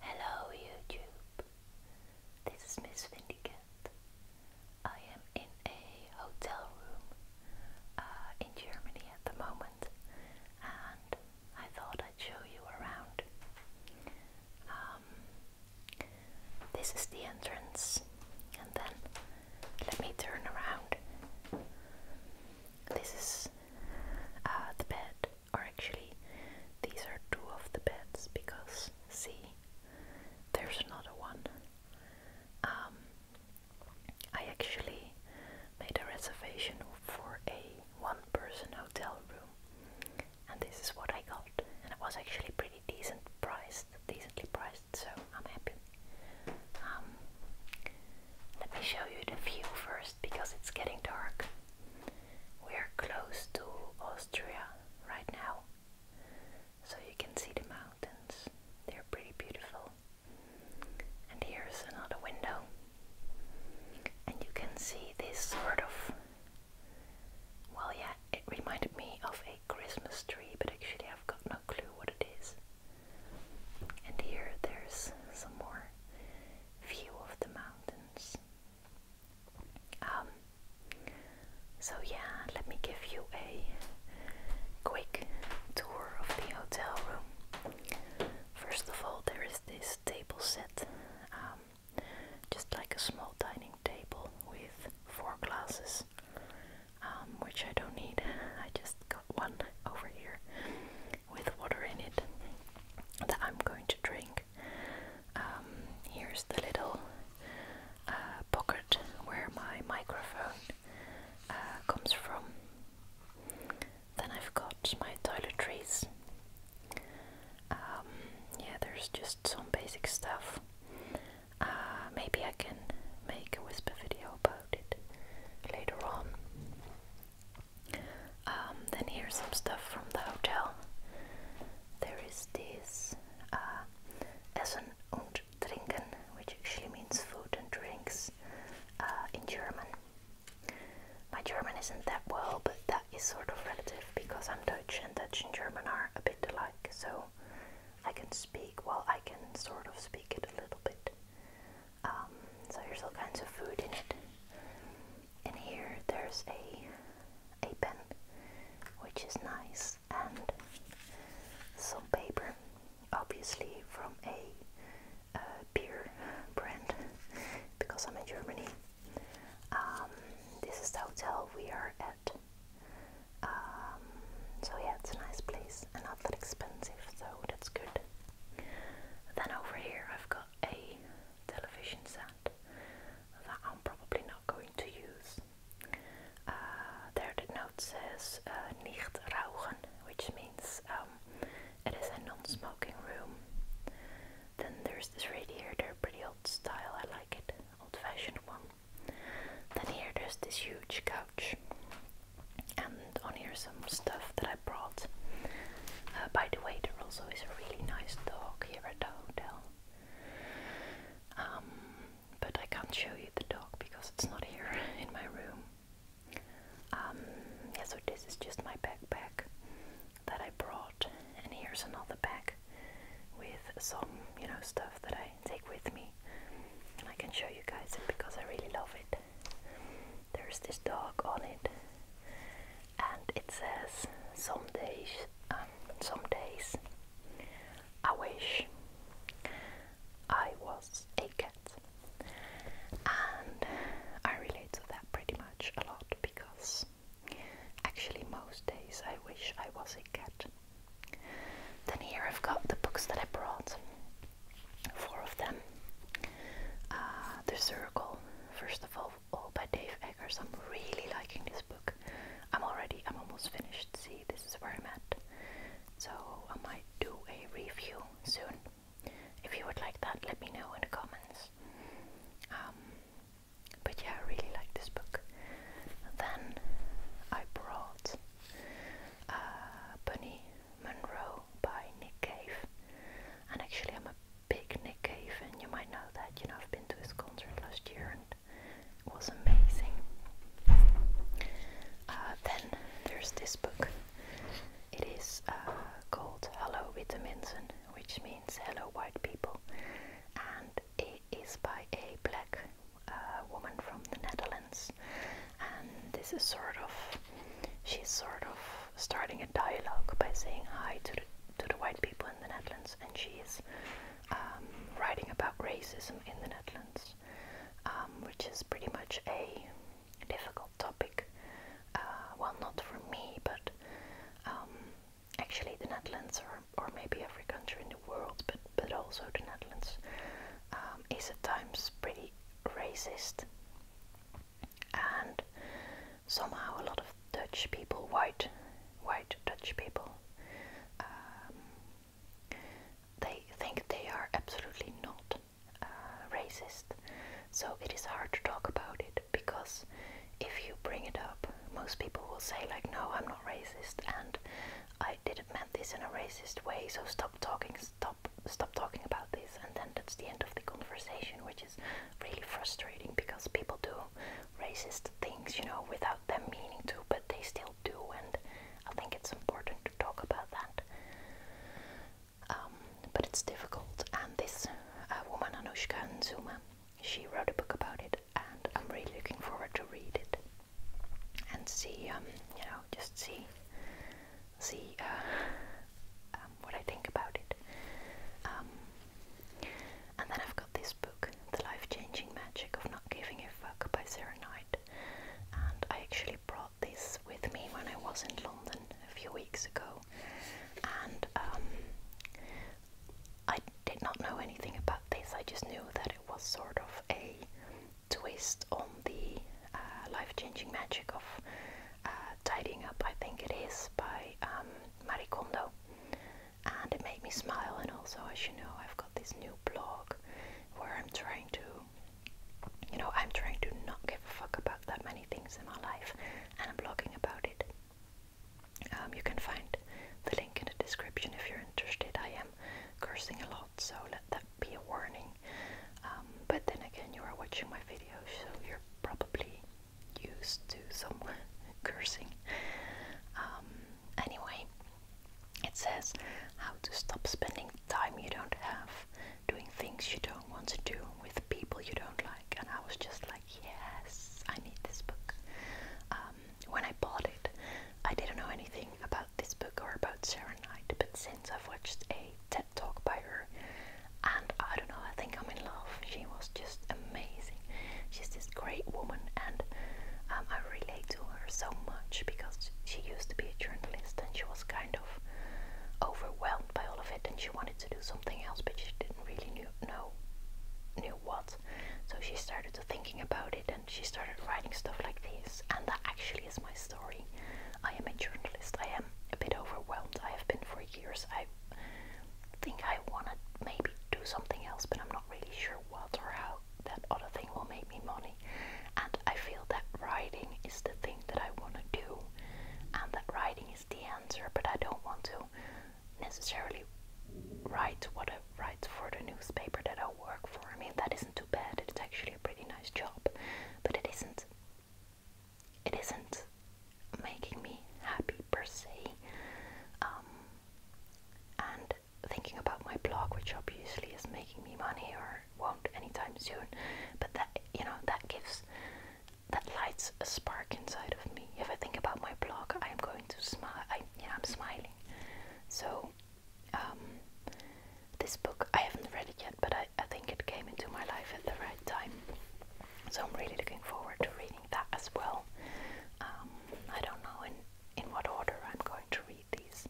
Hello YouTube, this is Miss Windicat. I am in a hotel room uh, in Germany at the moment and I thought I'd show you around. Um, this is the entrance and then let me turn around. This is uh, the bed or actually these are two of the beds because see there's another one um, I actually made a reservation for a one person hotel room and this is what I got and it was actually pretty decent priced decently priced so I'm happy um, let me show you the view first because it's getting dark. We're close to Austria right now, so you can see the mountains. They're pretty beautiful. And here's another window, and you can see this sort of well, yeah, it reminded me of a Christmas tree, but actually, I've got no clue what it is. And here, there's some more view of the mountains. Um, so, yeah, let me give you a quick tour of the hotel room. First of all, there is this table set, um, just like a small dining table with four glasses, um, which I don't need, I just got one over here with water in it that I'm going to drink. Um, here's the little uh, pocket where my microphone uh, comes from. Then I've got my toiletries. Um, yeah, there's just some basic stuff. Uh, maybe I can make a whisper video about it later on. Um, then here's some stuff from the hotel. There is this Essen uh, und Trinken, which actually means food and drinks uh, in German. My German isn't that well, but that is sort of relative because I'm Dutch and Dutch and German are a bit alike, so I can speak, well, I can sort of speak it a little bit. Um, so there's all kinds of food in it. And here there's a, a pen, which is nice, and some paper, obviously from a beer brand, because I'm in Germany. Um, this is the hotel we are at. Um, so yeah, it's a nice place and not that expensive, so that's good. Then over here I've got a television set that I'm probably not going to use. Uh, there the note says uh, nicht which means um, it is a non-smoking room. Then there's this radiator, pretty old style, I like it, old fashioned one. Then here there's this huge couch and on here some stuff that I brought. Uh, by the way, there also is a really nice dog here at the hotel. Um, but I can't show you the dog because it's not here in my room. Um, yeah, so this is just my backpack that I brought, and here's another bag with some, you know, stuff that I take with me, and I can show you guys it because I really love it there's this dog on it, and it says, "Some days, um, some days, I wish I was a cat," and I relate to that pretty much a lot because actually most days I wish I was a cat. Then here I've got the books that I brought four of them. Uh, the Circle, first of all, all by Dave Eggers. I'm really liking this book. I'm already, I'm almost finished. See, this is where I'm at. So I might do a review soon. If you would like that, let me know in the comments. Um, but yeah, I really like this book. Then I brought uh, Bunny Monroe by Nick Cave. And actually, I'm a big Nick Cave, and you might know that. You know, I've been to his concert last year, and it was amazing. Uh, then there's this book. It is uh, called Hello Vitaminsen, which means Hello White People, and it is by a black uh, woman from the Netherlands and this is sort of she's sort of starting a dialogue by saying hi to the, to the white people in the Netherlands, and she is um, writing about racism in the Netherlands, um, which is pretty much a difficult topic. Uh, well, not for me, but um, actually the Netherlands or or maybe every country in the world, but but also the Netherlands, um, is at times pretty racist. And somehow a lot of Dutch people, white, white Dutch people, um, they think they are absolutely not uh, racist. So it is hard to talk about it because if you bring it up, most people will say like, "No, I'm not racist," and I I didn't mean this in a racist way, so stop talking, stop, stop talking about this, and then that's the end of the conversation, which is really frustrating because people do racist things, you know, without them meaning to, but they still do, and I think it's important to talk about that. Um, but it's difficult, and this uh, woman, Anushka Zuma, she wrote a book about it, and I'm really looking forward to read it and see, um, you know, just see, see uh, um, what I think about it. Um, and then I've got this book, The Life-Changing Magic of Not Giving a Fuck by Sarah Knight. And I actually brought this with me when I was in London a few weeks ago. And um, I did not know anything about this, I just knew that it was sort of a twist on the uh, life-changing magic of uh, tidying up, I think it is, by um, Marie Kondo. And it made me smile. And also, as you know, I've got this new blog where I'm trying to, you know, I'm trying to not give a fuck about that many things in my life, and I'm blogging about it. Um, you can find the link in the description if you're interested. I am cursing a lot, so let that be a warning. Um, but then again, you are watching my videos, so you're probably used to some cursing. Um, anyway, it says how to stop spending time you don't have, doing things you don't want to do with people you don't like. And I was just like, yes, I need this book. Um, when I bought it, I didn't know anything about this book are about Sarah Knight, but since I've watched a TED talk by her, and I don't know, I think I'm in love. She was just amazing. She's this great woman, and um, I relate to her so much because she used to be a journalist and she was kind of overwhelmed by all of it, and she wanted to do something else, but she didn't really know knew what. So she started to thinking about it Morgan, she started writing stuff like this, and that actually is my story. I am a journalist. I am a bit overwhelmed. I have been for years. I think I want to maybe do something else, but I'm not really sure what or how that other thing will make me money. And I feel that writing is the thing that I want to do, and that writing is the answer, but I don't want to necessarily write what I writes for the newspaper that I work for. I mean, that isn't too bad. It's actually a pretty nice job, but it isn't. It isn't making me happy per se. Um, and thinking about my blog, which obviously is making me money or won't anytime soon, but that you know that gives that lights a spark inside of me. If I think about my blog, I'm going to smile. I, yeah, I'm smiling. So um, this book I haven't read it yet, but I, I think it came into my life at the right time. So I'm really looking forward to reading that as well. Um, I don't know in, in what order I'm going to read these.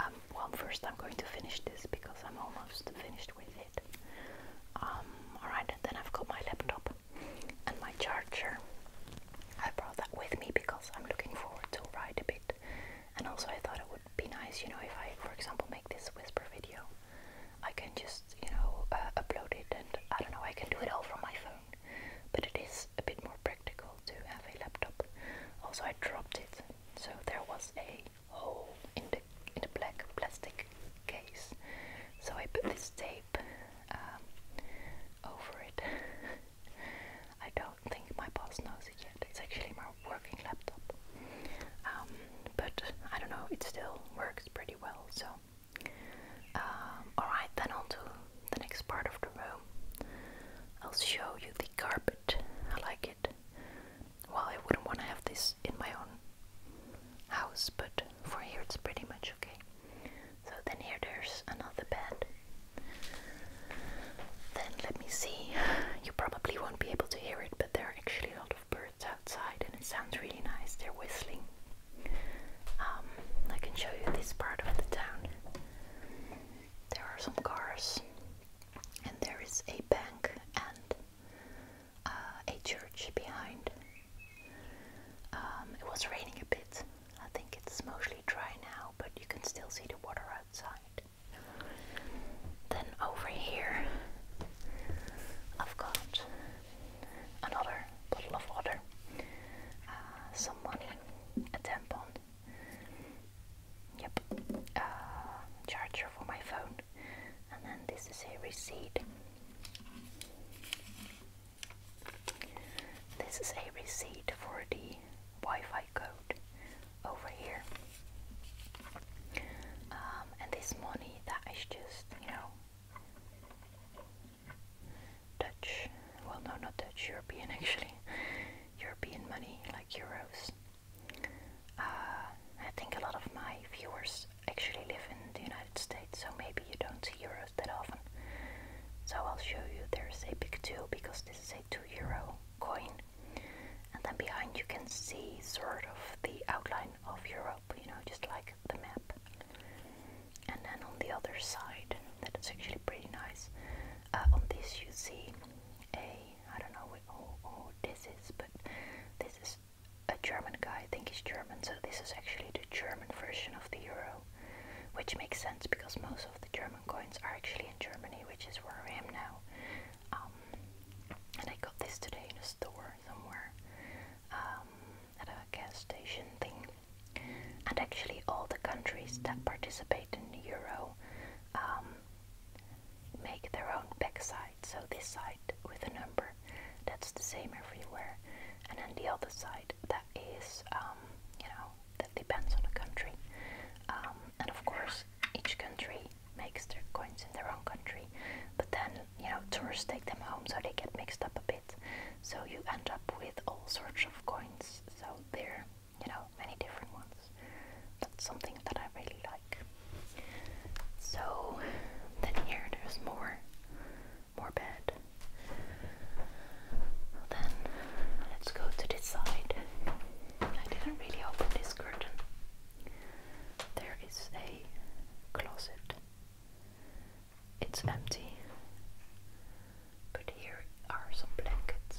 Um, well, first I'm going to finish this because I'm almost finished with it. Alright, and then I've got my laptop and my charger I brought that with me because I'm looking forward to ride a bit. And also I thought it would be nice, you know, if I, for example, make this whisper video, I can just, you know, uh, upload it and I don't know, I can do it all from my phone. But it is a bit more practical to have a laptop. Also, I dropped it, so there was a hole in the in the black plastic case. So I put this tape um, over it I don't think my boss knows it yet. It's actually my working laptop. Um, but I don't know, it still works pretty well. So, um, alright, then on to the next part of the room. I'll show you the carpet. I like it. Well, I wouldn't want to have this in my own house, but for here it's pretty much okay. So then here there's another bed. Then let me see. You probably won't be able to hear it, but there are actually a lot of birds outside and it sounds really nice. They're whistling. Um, I can show you this part of the town. There are some cars, and there is a bank and uh, a church behind. Um, it was raining a bit. I think it's mostly dry now, but you can still see the water outside. Then over here, I've got another bottle of water, uh, some money, a tampon, yep, a uh, charger for my phone, and then this is a receipt. This is a receipt for the Wi-Fi code over here. Um, and this money that is just, you know, Dutch, well no not Dutch, European actually, European money like euros. Uh, I think a lot of my viewers actually live in the United States, so maybe you don't see euros that often. So I'll show you there's a big 2 because this is a 2 euro coin. And then behind you can see sort of the outline of Europe, you know, just like the map. And then on the other side, that is actually pretty nice. Uh, on this you see a, I don't know what oh, oh, this is, but this is a German guy, I think he's German, so this is actually the German German version of the euro, which makes sense because most of the German coins are actually in Germany, which is where I am now. Um, and I got this today in a store somewhere um, at a gas station thing. And actually, all the countries that participate in the euro um, make their own backside. so this side with the number that's the same everywhere. And then the other side, that is, um, you know, that depends on the country. Um, and of course, each country makes their coins in their own country. But then, you know, tourists take them home, so they get mixed up a bit. So you end up with all sorts of coins. So they're, you know, many different ones. That's something that I really like. So then here there's more more bed. Then let's go to this side. I didn't really open this curtain. There is a closet. It's empty, but here are some blankets.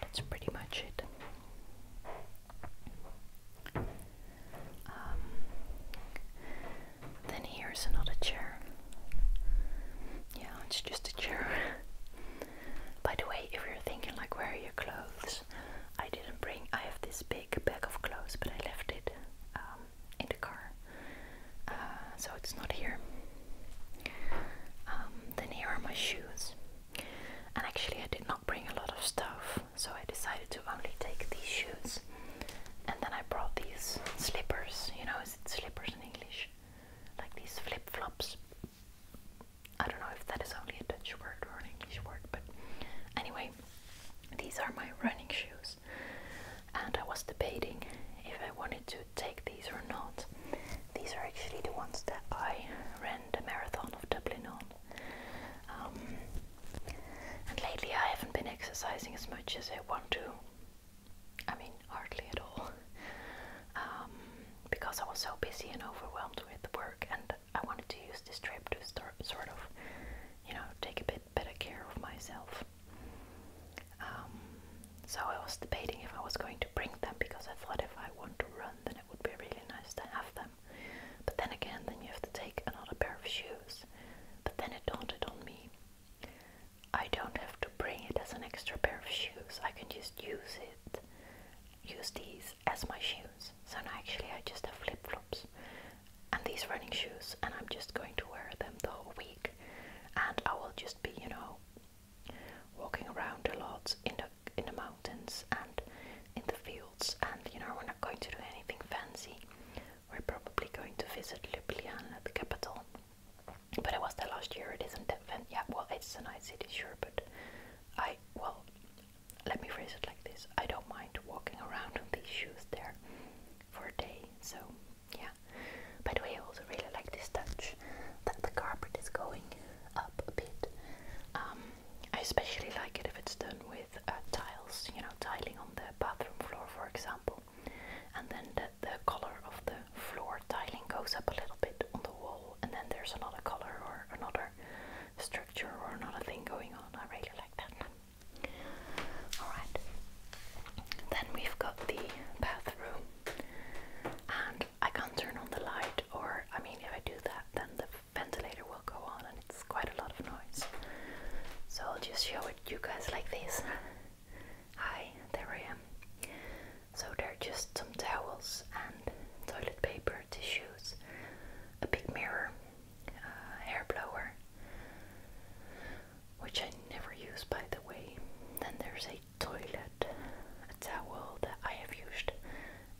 That's pretty much it. Um, then here's another chair. Yeah, it's just a chair. By the way, if you're thinking like where are your clothes, I didn't bring. I have this big bag of clothes, but I left it um, in the car, uh, so it's not here. Um, then here are my shoes, and actually I did not bring a lot of stuff so I decided to only take these shoes. And then I brought these slippers. You know, is it slippers in English? Like these flip flops. I don't know if that is only a Dutch word or an English word, but anyway, these are my running shoes. And I was debating if I wanted to take these or not. These are actually the ones that I ran the marathon of Dublin on. Um, and lately I haven't been exercising as much as I want to. I mean, hardly at all. Um, because I was so busy and overwhelmed with work, and I wanted to use this trip to start, sort of, you know, take a bit better care of myself. Um, so I was debating if I was going to bring them because I thought if I want to run, then it would be really nice to have them. But then again, then you have to take another pair of shoes. But then it dawned on me. I don't have to bring it as an extra pair of shoes. I can just use it, use these as my shoes. So now actually I just have flip-flops and these running shoes and I'm just going to wear them the whole week. And I will just be, you know, walking around a lot in the in the mountains and in the field and you know, we're not going to do anything fancy. We're probably going to visit Ljubljana, the capital. But I was there last year, it isn't that fan yeah, well it's a nice city, sure, but I well let me phrase it like this. I don't mind walking around on these shoes there for a day, so yeah. By the way I also really like this touch that the carpet is going up a bit. Um, I especially like it if it's done with uh, tiles, you know, tiling on the bathroom floor, for example, and then the, the color of the floor tiling goes up a little bit on the wall, and then there's another color or another structure or another thing going on. I really like that. Alright, then we've got the bathroom, and I can't turn on the light, or I mean, if I do that, then the ventilator will go on and it's quite a lot of noise. So I'll just show it you guys like this. Hi, there I am. So there are just some towels and toilet paper, tissues, a big mirror, a uh, hair blower, which I never use by the way. Then there's a toilet, a towel that I have used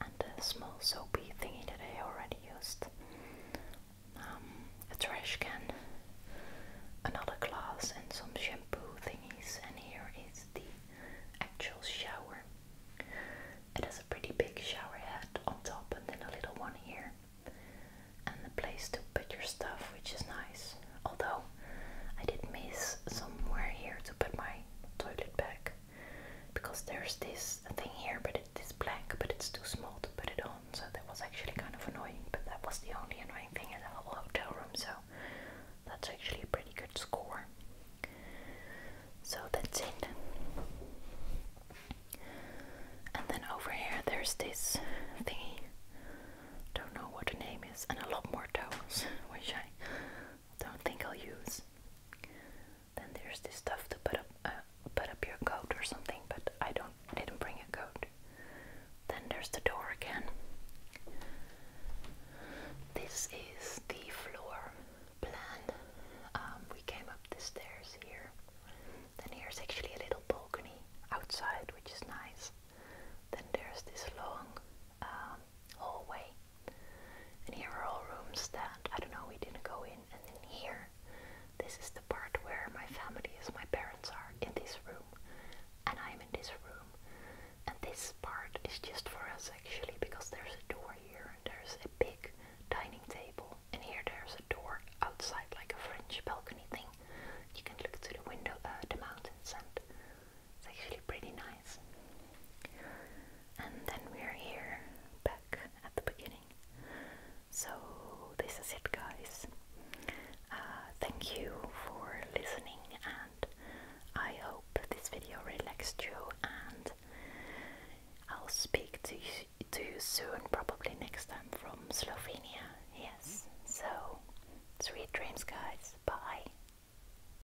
and a small soapy thingy that I already used. Um, a trash can, another glass, and some shampoo thingies. And here is the actual shower. It has a pretty big shower head on top, and then a little one here, and a place to put your stuff, which is nice. Although I did miss somewhere here to put my toilet bag, because there's this thing here, but it is black, but it's too small to put it on, so that was actually kind of annoying. But that was the only annoying thing in the whole hotel room, so that's actually a pretty good score. So that's it. And then over here, there's this thingy. Don't know what the name is, and a lot more towels, which I don't think I'll use. Then there's this stuff to put up, uh, put up your coat or something, but I don't, didn't bring a coat. Then there's the door again. This is the floor plan. Um, we came up the stairs here. Then here's actually a little balcony outside, which is nice. Then there's this long um, hallway. And here are all rooms that I don't know, we didn't go in. And then here, this is the part where my family is, my parents are in this room, and I'm in this room. And this part is just for us actually, because there's a door here, and there's a big dining table, and here there's a door outside, like a French balcony thing. You can look to the window, uh, the mountains, and it's actually pretty nice. And then we're here back at the beginning. So, this is it, guys. Uh, thank you for listening, and I hope this video relaxed you. And I'll speak to to you soon, probably next time from Slovenia. Yes, so sweet dreams, guys. Bye.